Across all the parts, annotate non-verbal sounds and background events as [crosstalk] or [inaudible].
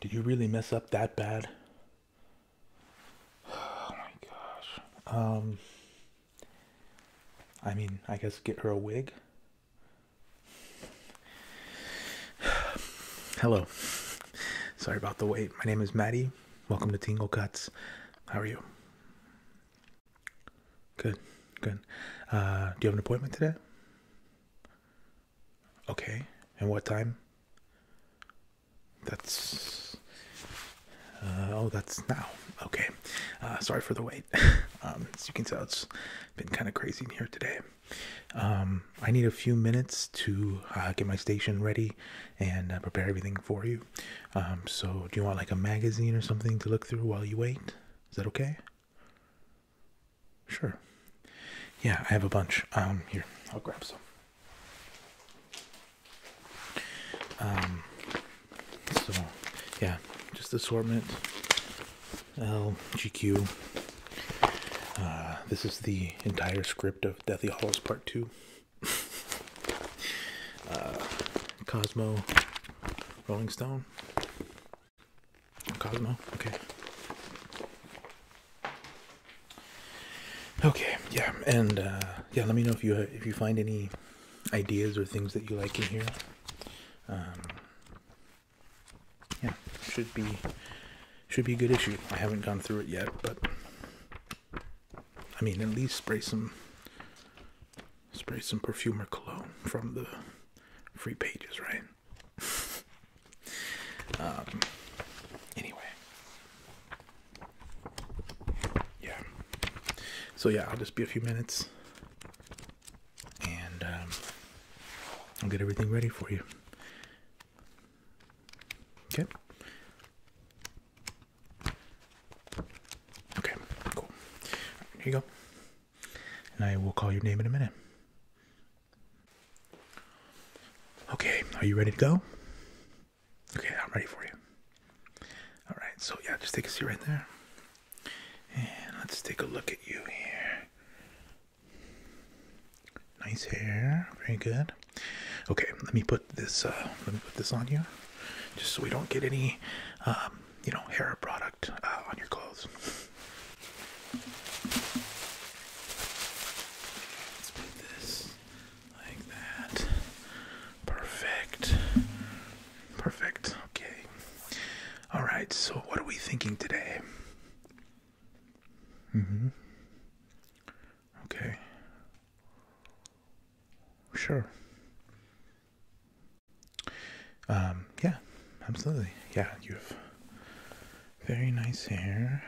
Did you really mess up that bad? Oh my gosh. Um, I mean, I guess get her a wig. [sighs] Hello. Sorry about the wait. My name is Maddie. Welcome to Tingle Cuts. How are you? Good, good. Uh, do you have an appointment today? Okay. And what time? That's. Uh, oh, that's now. Okay. Uh, sorry for the wait. [laughs] Um, as you can tell, it's been kind of crazy here today. Um, I need a few minutes to uh, get my station ready and uh, prepare everything for you. Um, so, do you want like a magazine or something to look through while you wait? Is that okay? Sure. Yeah, I have a bunch. Um, here, I'll grab some. Um, so, yeah, just assortment. L G Q. Uh, this is the entire script of Deathly Hallows Part 2. Uh, Cosmo, Rolling Stone, Cosmo. Okay. Okay. Yeah. And uh, yeah, let me know if you if you find any ideas or things that you like in here. Um, yeah, should be should be a good issue. I haven't gone through it yet, but I mean, at least spray some spray some perfumer cologne from the free pages, right? [laughs] um, anyway, yeah. So yeah, I'll just be a few minutes, and um, I'll get everything ready for you. Okay. Okay, cool. here you go. And I will call your name in a minute. Okay, are you ready to go? Okay, I'm ready for you. All right, so yeah, just take a seat right there. And let's take a look at you here. Nice hair. Very good. Okay, let me put this. Uh, let me put this on you, just so we don't get any, um, you know, hair product uh, on your clothes. Let's put this like that. Perfect. Perfect. Okay. All right. So, what are we thinking today? hmm Okay. Sure. Um, yeah, absolutely. Yeah, you have very nice hair.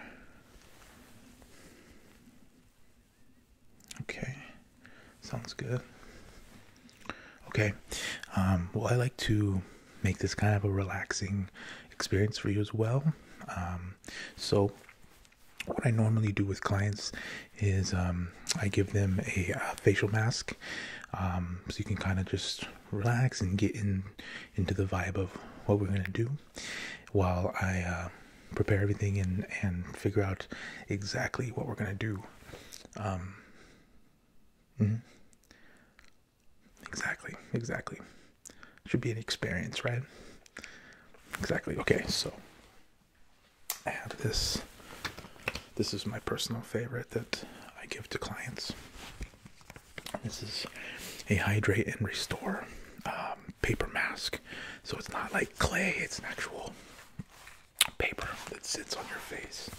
Okay, sounds good. Okay, um, well, I like to make this kind of a relaxing experience for you as well. Um, so, what I normally do with clients is um, I give them a, facial mask, um, so you can kind of just relax and get in into the vibe of what we're gonna do, while I uh, prepare everything and and figure out exactly what we're gonna do. Um, mm-hmm. Exactly, exactly. Should be an experience, right? Exactly. Okay, so I have this. This is my personal favorite that I give to clients. This is a hydrate and restore um, paper mask. So it's not like clay, it's an actual paper that sits on your face.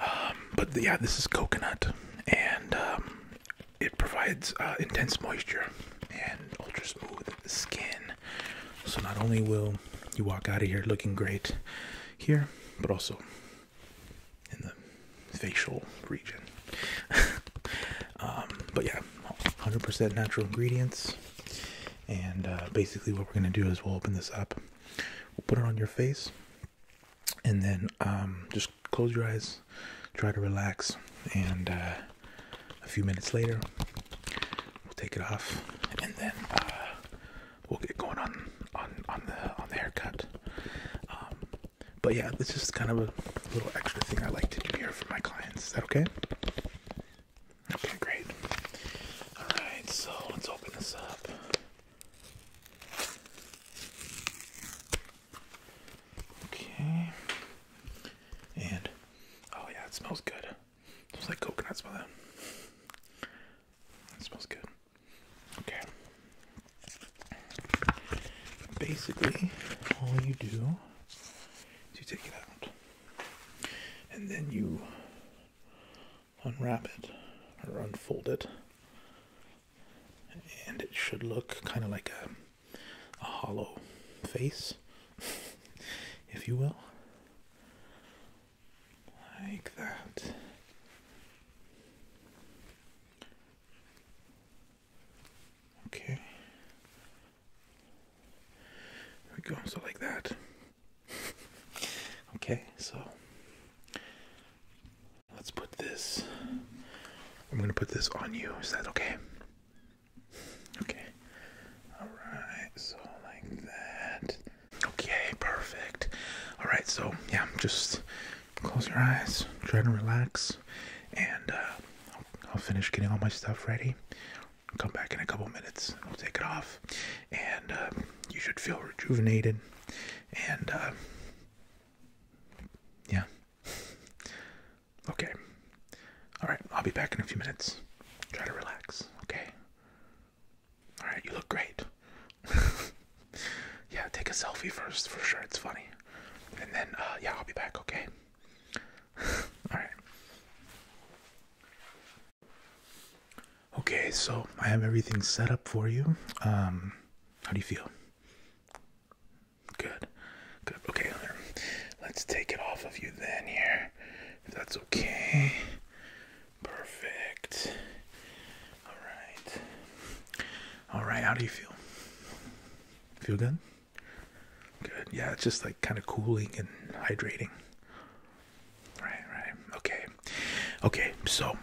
Um, but yeah, this is coconut. And um, it provides uh, intense moisture and ultra smooth skin. So not only will you walk out of here looking great here, but also in the facial region. [laughs] Um, but yeah, 100% natural ingredients. And uh, basically, what we're going to do is we'll open this up, we'll put it on your face, and then um, just close your eyes, try to relax, and uh, a few minutes later, we'll take it off, and then uh, we'll get going on on on the on the haircut. Um, but yeah, this is kind of a little extra thing I like to do here for my clients. Is that okay? Okay, great. All right, so let's open this up. Okay. And oh yeah, it smells good. It smells like coconut smell. That. It smells good. Okay. Basically, all you do is you take it out, and then you unwrap it or unfold it, and it should look kind of like a a hollow face, if you will. Like that. Okay. we go, so like that. [laughs] okay, so let's put this. I'm gonna put this on you. Is that okay? Okay. Alright, so like that. Okay, perfect. Alright, so yeah, just close your eyes, try to relax, and uh, I'll, finish getting all my stuff ready. Come back in a couple minutes, and we'll take it off, and uh, you should feel rejuvenated. And uh, yeah, Okay. Alright, I'll be back in a few minutes. Try to relax, okay? Alright, you look great. [laughs] yeah, take a selfie first for sure, it's funny. And then, uh, yeah, I'll be back, okay? [laughs] Alright. Okay, so I have everything set up for you. Um, how do you feel? Good. Good. Okay, let's take it off of you then here. If that's okay. Perfect. Alright. Alright, how do you feel? Feel good? Good. Yeah, it's just like kind of cooling and hydrating. Right, right. Okay. Okay, so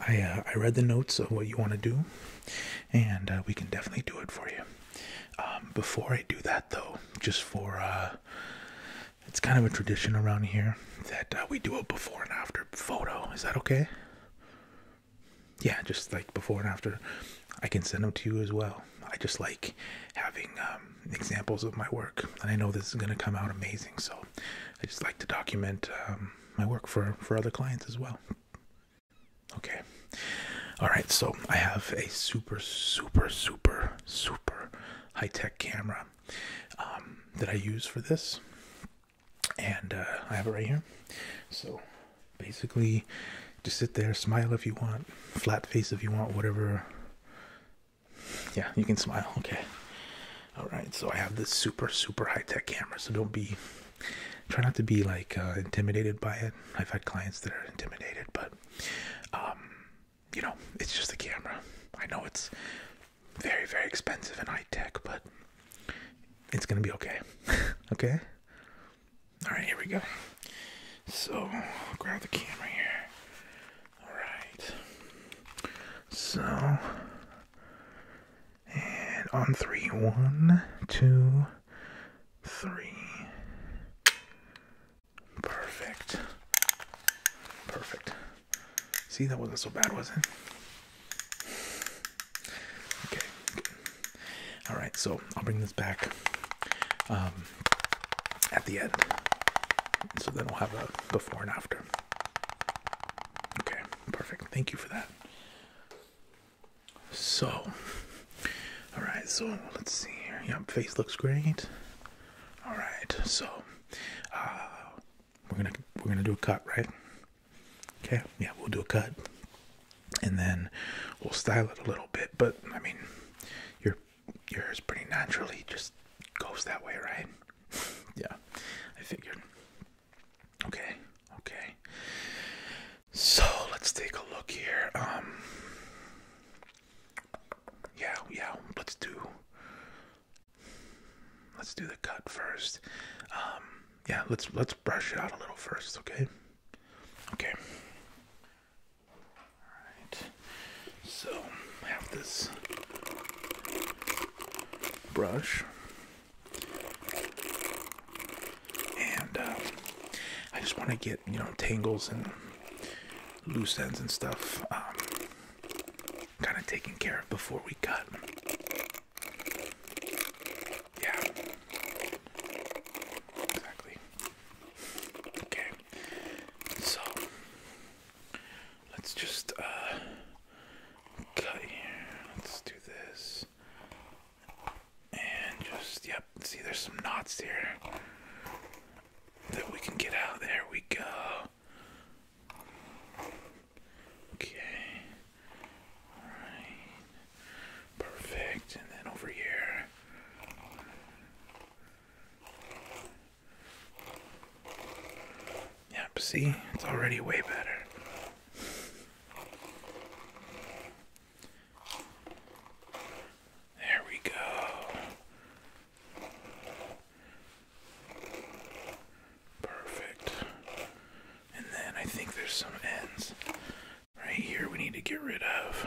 I uh, I read the notes of what you want to do, and uh, we can definitely do it for you. Um, before I do that, though, just for uh, it's kind of a tradition around here that uh, we do a before and after photo. Is that okay? Yeah, just like before and after. I can send them to you as well. I just like having um, examples of my work, and I know this is going to come out amazing. So I just like to document um, my work for for other clients as well. Okay. All right. So I have a super, super, super, super high tech camera um, that I use for this. And uh, I have it right here. So basically, just sit there, smile if you want, flat face if you want, whatever. Yeah, you can smile. Okay. All right. So I have this super, super high tech camera. So don't be try not to be like uh, intimidated by it. I've had clients that are intimidated, but um, you know, it's just a camera. I know it's very, very expensive and high tech, but it's gonna be okay. [laughs] okay. All right, here we go. So grab the camera here. All right. So and on three, one, two, three. Perfect. Perfect. See, that wasn't so bad, was it? Okay. All right, so I'll bring this back um, at the end. So then we'll have a before and after. Okay, perfect. Thank you for that. So, all right. So let's see here. Your face looks great. All right. So, uh, we're gonna we're gonna do a cut, right? Okay. Yeah, we'll do a cut, and then we'll style it a little bit. But I mean, your yours pretty naturally just goes that way, right? [laughs] yeah, I figured. Okay. Okay. So let's take a look here. Um, yeah, yeah. Let's do. Let's do the cut first. Um, yeah, let's let's brush it out a little first, okay? Okay. All right. So I have this brush and uh, I just want to get you know tangles and loose ends and stuff um, kind of taken care of before we cut. Yeah, exactly. Okay, so let's just uh, cut here. Let's do this. And just, yep, see there's some knots here that we can get out. There we go. Okay. Alright. Perfect. And then over here. Yep, see? It's already way better. There we go. Perfect. And then I think there's some ends right here we need to get rid of.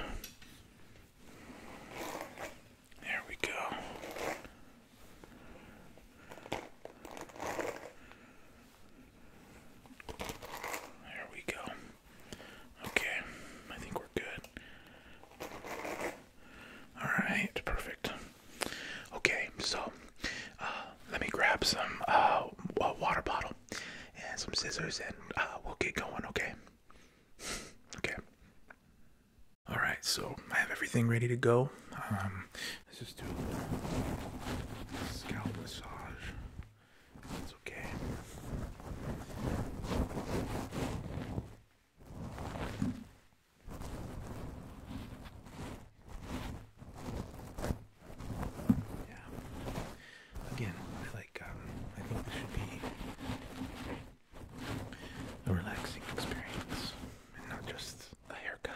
There we go. There we go. Okay, I think we're good. Alright, perfect. Okay, so uh, let me grab some uh, water bottle and some scissors and uh, we'll get going, okay? okay. Alright, so I have everything ready to go. Um, let's just do a scalp massage. It's okay. Yeah. Again, I like. Um, I think this should be a relaxing experience, and not just a haircut.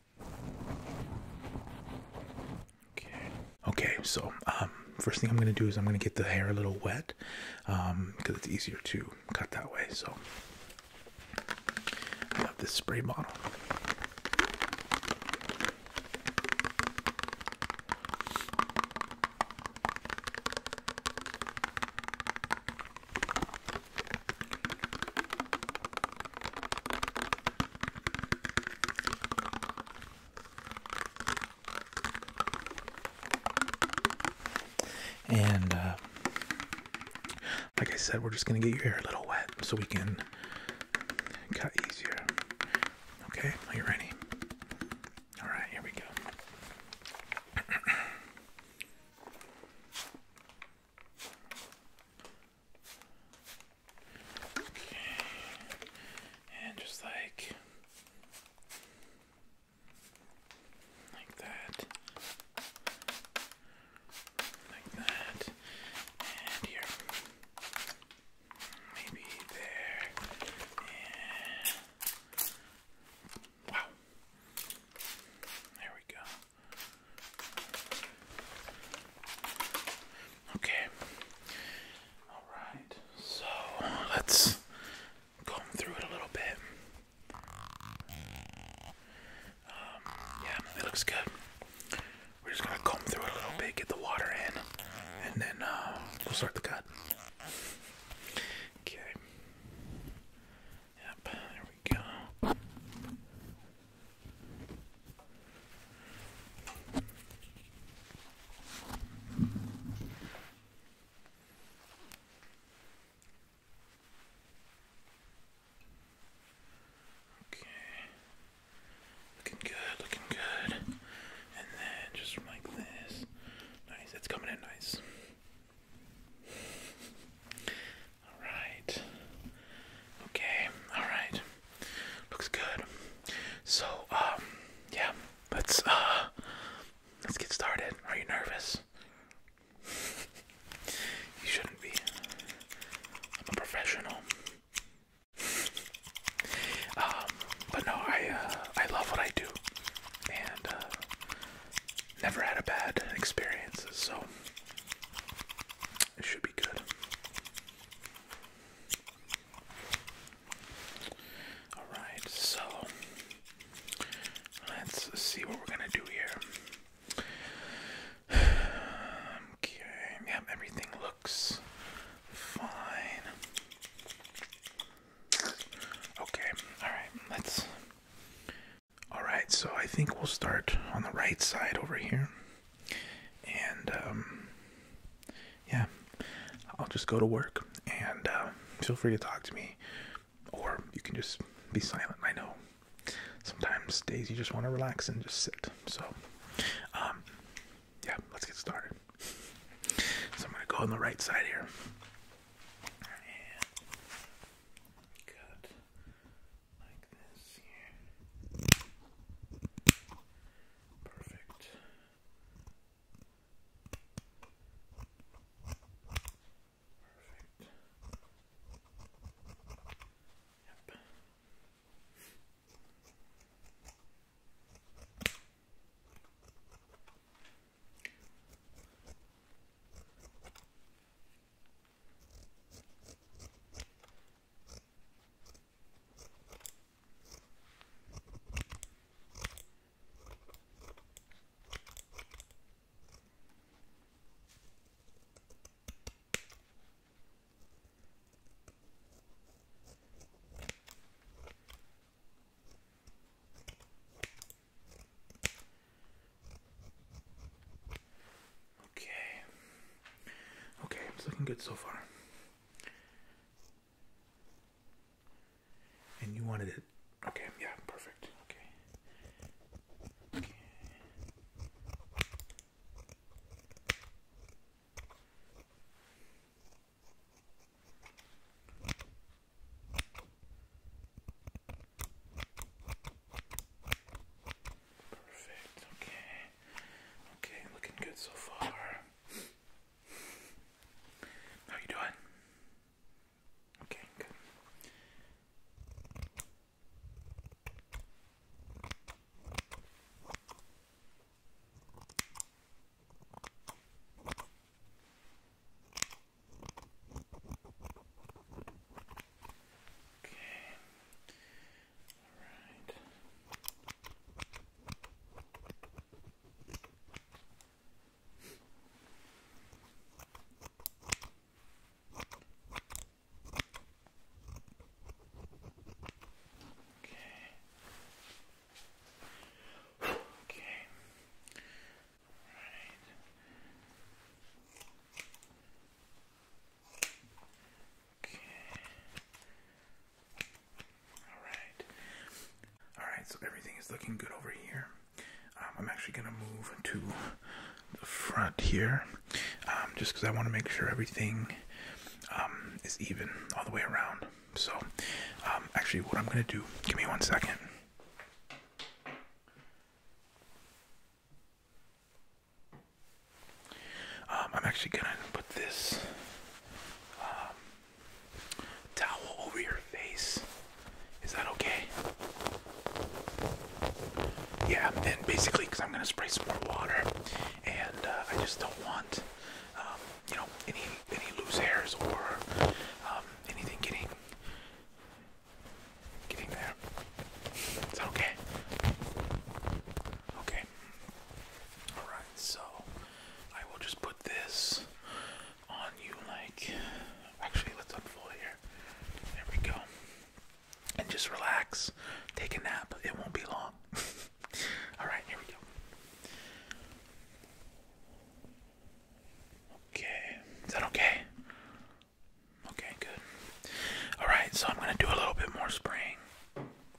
Okay. So, um, first thing I'm gonna do is I'm gonna get the hair a little wet, because um, it's easier to cut that way. So, I have this spray bottle. And uh, like I said, we're just going to get your hair a little wet so we can cut easier. Okay, are you ready? All right, here we go. Okay. And just like like that. Like that. And here. Maybe there. Wow. There we go. Okay. All right. So let's comb through it a little bit. Um, yeah, it looks good. We're just gonna comb through it a little bit, get the water in, and then uh, we'll start the cut. Okay. Yep. There we go. Okay. Looking good, looking good. And then just like this. Nice, it's coming in nice. Alright. Okay, alright. Looks good. So, um, yeah, let's uh, let's get started. Are you nervous? [laughs] you shouldn't be. I'm a professional. Um, but no, I uh, I love what I do, and uh, never had a bad experience, so it should be good. Alright, so let's see what we're gonna do here. [sighs] Okay, yep, everything looks fine. Okay, alright, let's. Alright, so I think we'll start on the right side over here and um, yeah, I'll just go to work and uh, feel free to talk to me, or you can just be silent. I know sometimes days you just want to relax and just sit. So, um, yeah, let's get started. So I'm gonna go on the right side here. Perfect. Perfect. Yep. Okay. Okay, it's looking good so far. And you wanted it. Okay, yeah, perfect. Okay. Perfect. Okay. Okay, looking good so far. How you doing? Okay, good. Okay. Alright. Okay. Okay. All right. Alright. Alright, so everything is looking good over here. Um, I'm actually going to move to the front here um, just because I want to make sure everything um, is even all the way around. So, um, actually, what I'm going to do, give me one second. Um, I'm actually gonna put this um, towel over your face. Is that okay? Yeah, and basically, because I'm gonna spray some more water, and uh, I just don't want, um, you know, any any loose hairs or anything getting getting there. Is that okay? Okay. Alright, so I will just put this on you like actually let's unfold here. There we go. And just relax. Take a nap. It won't be long. [laughs] Alright, here we go. Okay. Is that okay? Okay, good. Alright, so I'm gonna do a little bit more spraying.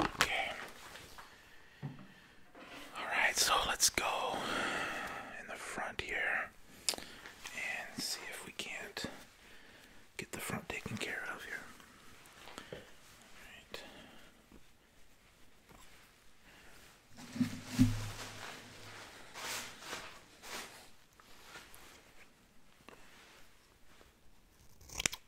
Okay. Alright, so let's go in the front here and see if we can't get the front taken care of here. Alright.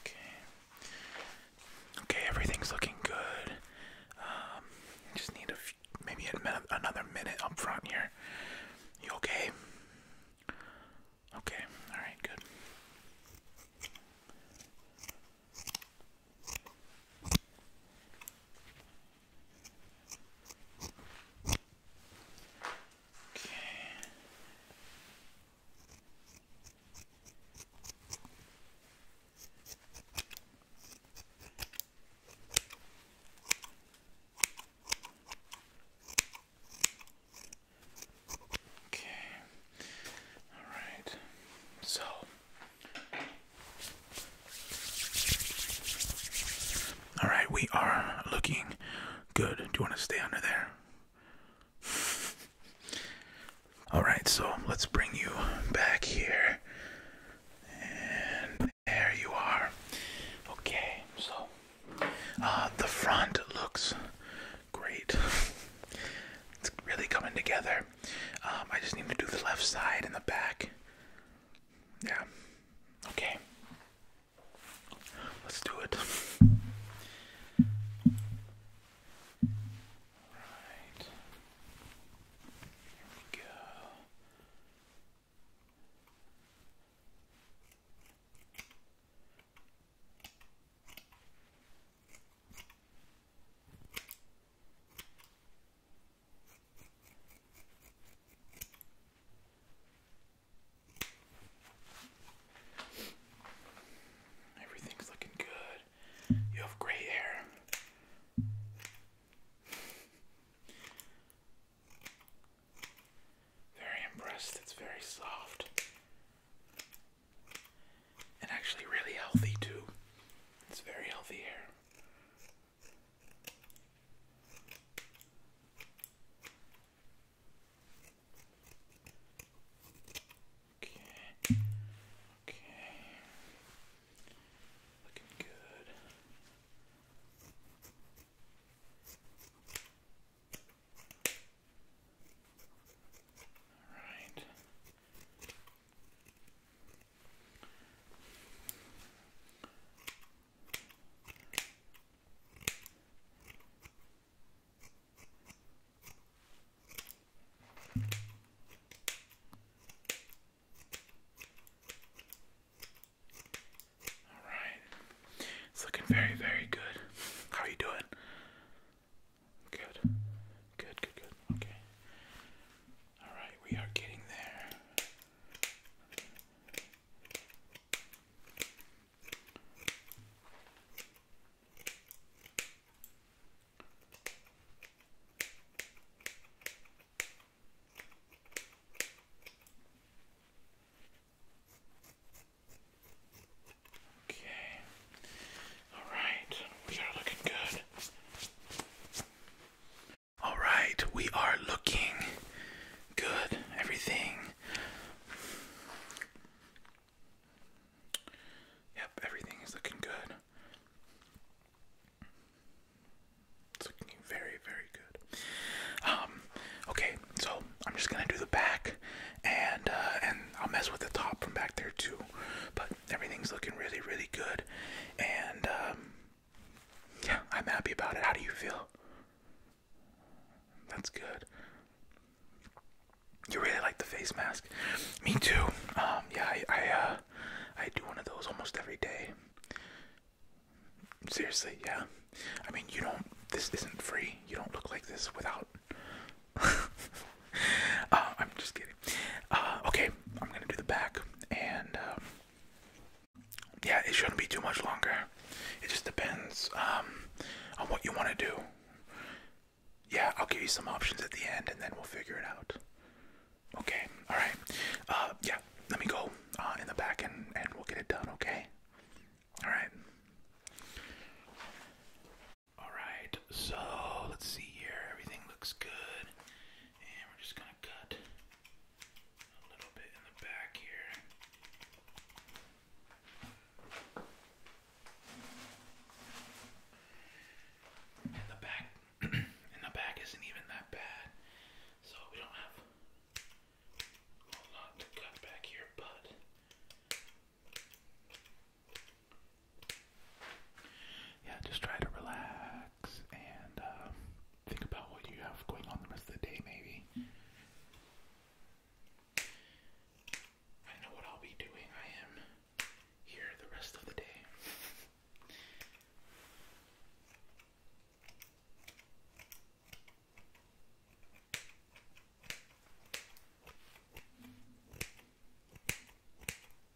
Okay. Okay, everything's looking good. Um, just need a maybe another minute up front here. You okay? Okay. All right. Good. Okay. Okay. All right. So all right, we are looking good. Do you want to stay under there? All right, so let's bring you back here. And there you are. Okay, so uh, the front looks great. [laughs] it's really coming together. Um, I just need to do the left side and the back. Yeah. Okay. Let's do it. Right. Here we go. Everything's looking good. You have gray hair. Very impressed. It's very soft and actually really healthy too. It's very healthy here. Okay. Okay. Looking good. All right. All right, it's looking very, very good. How are you doing? Good. Good, good, good. Okay. Alright, we are getting there. Okay. Alright, we are looking good. Alright, we are looking good. Everything. Yep, everything is looking good. It's looking very, very good. Um, okay, so I'm just gonna do the back, and uh, and I'll mess with the top from back there too. But everything's looking really, really good. And um, yeah, I'm happy about it. How do you feel? That's good. You really like the face mask. Me too. Um, yeah, I uh, I do one of those almost every day. Seriously, yeah. I mean, you don't. This isn't free. You don't look like this without [laughs] Uh, I'm just kidding. Uh, okay, I'm gonna do the back, and um, yeah, it shouldn't be too much longer. It just depends um, on what you want to do. Yeah, I'll give you some options at the end, and then we'll figure it out. Okay, all right. Uh, yeah, let me go uh, in the back, and and we'll get it done. Okay. All right. Alright, so let's see here. Everything looks good. And we're just gonna cut a little bit in the back here. And the back [clears throat] and the back isn't even that bad. So we don't have a lot to cut back here, but yeah, just try to relax and uh, think about what you have going on the rest of the day, maybe. I know what I'll be doing. I am here the rest of the day.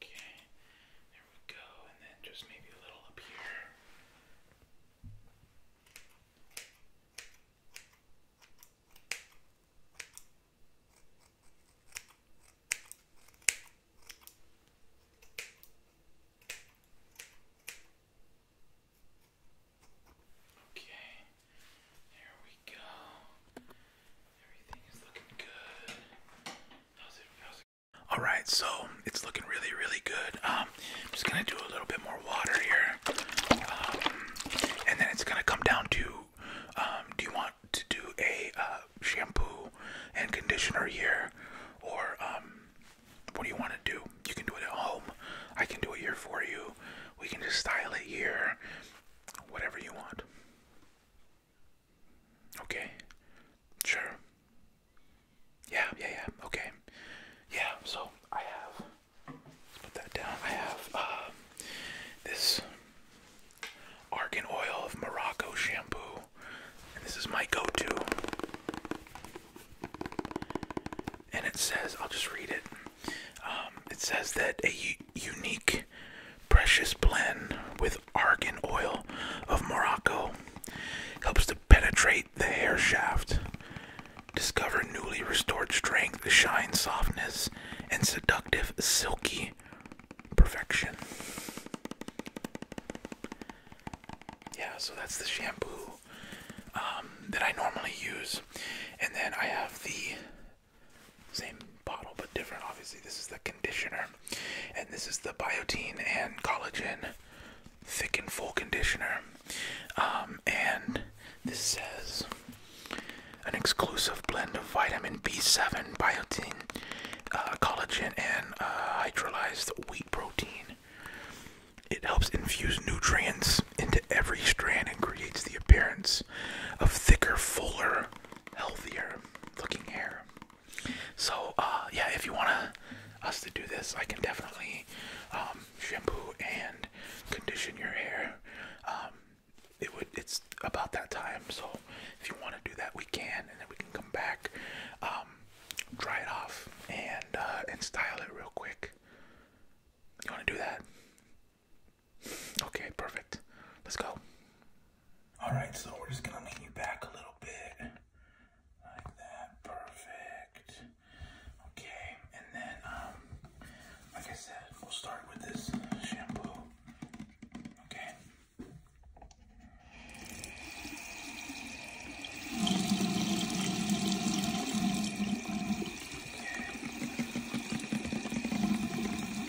yeah. Okay. There we go. And then just maybe a little up here. Okay, there we go. All right, so it's looking really, really good. Um, I'm just gonna do a little bit more water here, um, and then it's gonna come down to, um, do you want to do a uh, shampoo and conditioner here, or um, what do you want to do? You can do it at home. I can do it here for you. We can just style it here. Whatever you want. Okay. Sure. Yeah, yeah, yeah. Okay. Yeah, so I have. Let's put that down. I have uh, this Argan Oil of Morocco shampoo. And this is my go to. And it says, I'll just read it. Um, it says that a unique precious blend with argan oil of Morocco. Helps to penetrate the hair shaft. Discover newly restored strength, shine, softness, and seductive, silky perfection. Yeah, so that's the shampoo um, that I normally use. And then I have the same bottle but different, obviously. This is the conditioner, and this is the biotin and collagen thick and full conditioner. Um, and this says an exclusive blend of vitamin B7, biotin, uh, collagen, and uh, hydrolyzed wheat protein. It helps infuse nutrients into every strand and creates the appearance of thicker, fuller, healthier looking hair. So uh, yeah, if you want us to do this, I can definitely um, shampoo and condition your hair. Um, it would. It's about that time. So if you want to do that, we can, and then we can come back, um, dry it off, and uh, and style it real quick. You want to do that? Okay, perfect. Let's go. Alright, so we're just gonna lean you back a little bit. Like that. Perfect. Okay, and then, um, like I said, we'll start with this shampoo. Okay.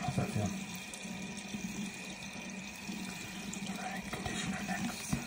How's that feel? Alright, conditioner next. Okay.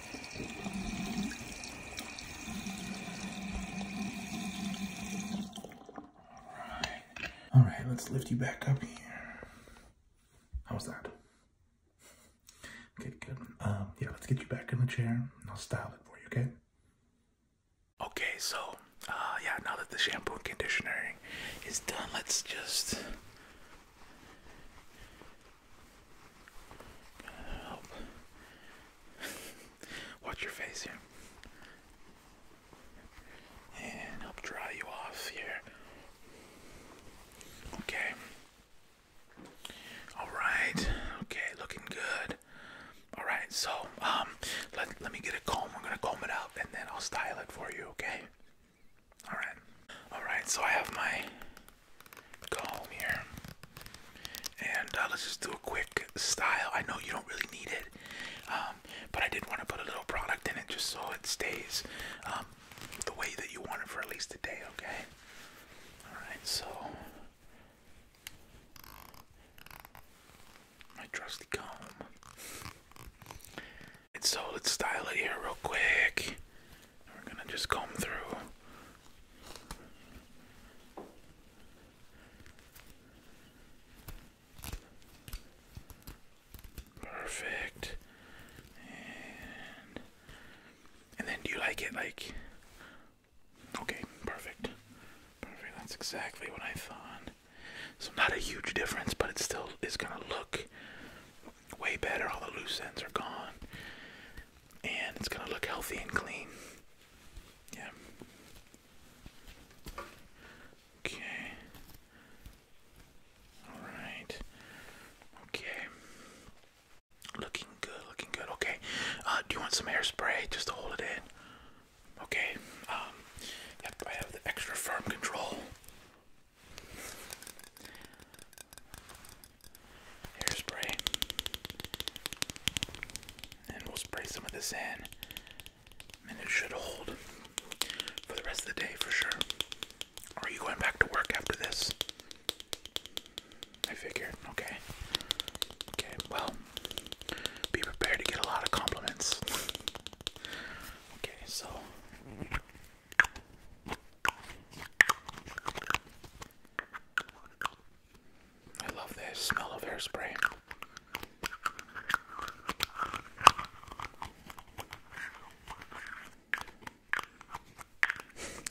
Alright. Alright, let's lift you back up here. How was that? Okay, good. Um, yeah, let's get you back in the chair I'll style it for you, okay? Okay, so uh, yeah, now that the shampoo and conditioner is done, let's just Help. Watch your face here. And help dry you off here. Okay. Alright. Okay, looking good. Alright, so um let, let me get a comb. I'm gonna comb it out and then I'll style it for you, okay? Alright. Alright, so I have my go here. And uh, let's just do a quick style. I know you don't really need it, um, but I did want to put a little product in it just so it stays um, the way that you want it for at least a day, okay? Alright, so my trusty comb. And so let's style it here real quick. We're gonna just comb through Perfect. And, then do you like it like okay, perfect. Perfect. That's exactly what I thought. So not a huge difference, but it still is gonna look way better. All the loose ends are gone and it's gonna look healthy and clean. Yeah. Okay. Alright. Okay. Looking good, looking good. Okay. Uh, do you want some hairspray just to hold it in? Okay. Um, yep, I have the extra firm control hairspray. And we'll spray some of this in. And it should hold for the rest of the day for sure. Are you going back to work after this? I figured. Okay. Okay, well, be prepared to get a lot of compliments. okay, so. I love the smell of hairspray.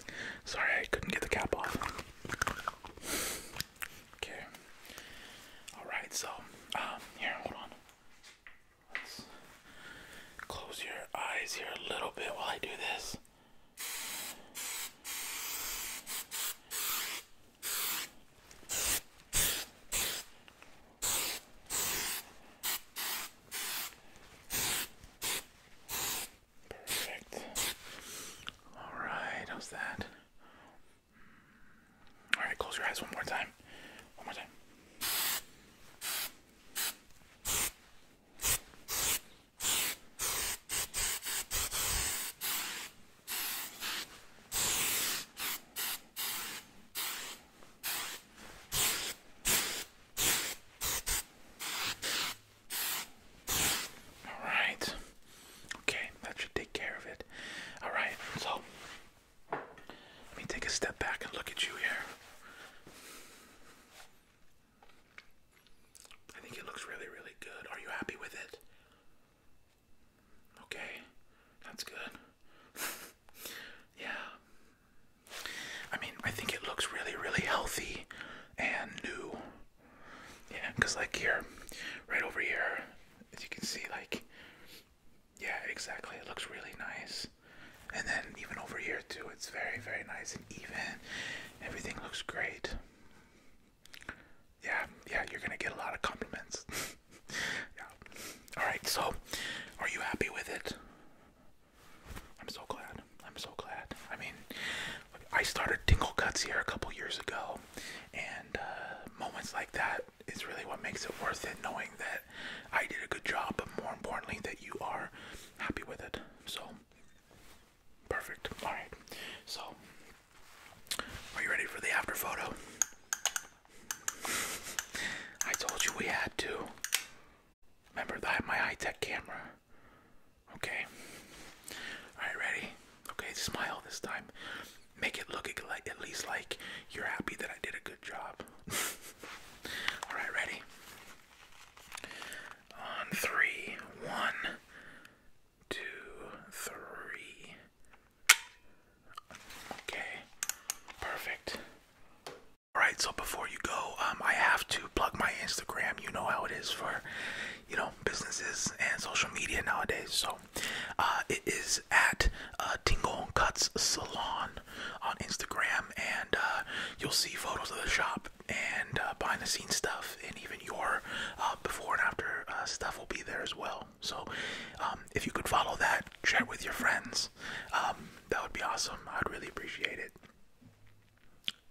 [laughs] Sorry, I couldn't get the cap off. Okay. Alright, so, um, here, hold on. close your eyes here a little bit while I do this. Perfect. All right, how's that? All right, close your eyes one more time. One more time. All right. Okay, that should take care of it. All right, so let me take a step back and look at you here. I think it looks really, really good. Are you happy with it? Okay, that's good. [laughs] yeah. I mean, I think it looks really, really healthy and new. Yeah, because, like, here, right over here, as you can see, like, yeah, exactly. It looks really nice. And then even over here, too, it's very, very nice and even. Everything looks great yeah, yeah, you're gonna get a lot of compliments. [laughs] yeah. Alright, so are you happy with it? I'm so glad. I'm so glad. I mean, I started Tingle Cuts here a couple years ago, and uh, moments like that is really what makes it worth it, knowing that I did a good job, but more importantly, that you are happy with it. So, Perfect. All right. So, are you ready for the after photo? I told you we had to. Remember that my high-tech camera. Okay. All right, ready? Okay, smile this time. Make it look at least like you're happy that I did a good job. [laughs] All right, ready? On three, one, two, three. Okay, perfect. All right, so before you go, um, I have to plug my Instagram. You know how it is for, you know, businesses and social media nowadays. So, uh, it is at uh, Tingle Cuts Salon on Instagram, and uh, you'll see photos of the shop and uh, behind the scenes stuff, and even your uh, before and after uh, stuff will be there as well. So, um, if you could follow that, share it with your friends, um, that would be awesome. I'd really appreciate it.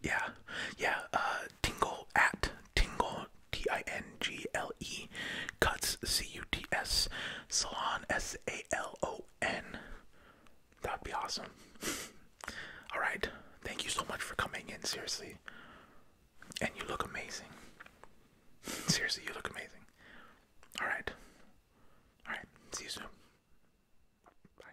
Yeah, yeah. tingle at tingle T I N G L E cuts C U T S salon S A L O N. That'd be awesome. [laughs] All right. Thank you so much for coming in. Seriously. And you look amazing. Seriously, you look amazing. Alright. Alright. See you soon. Bye.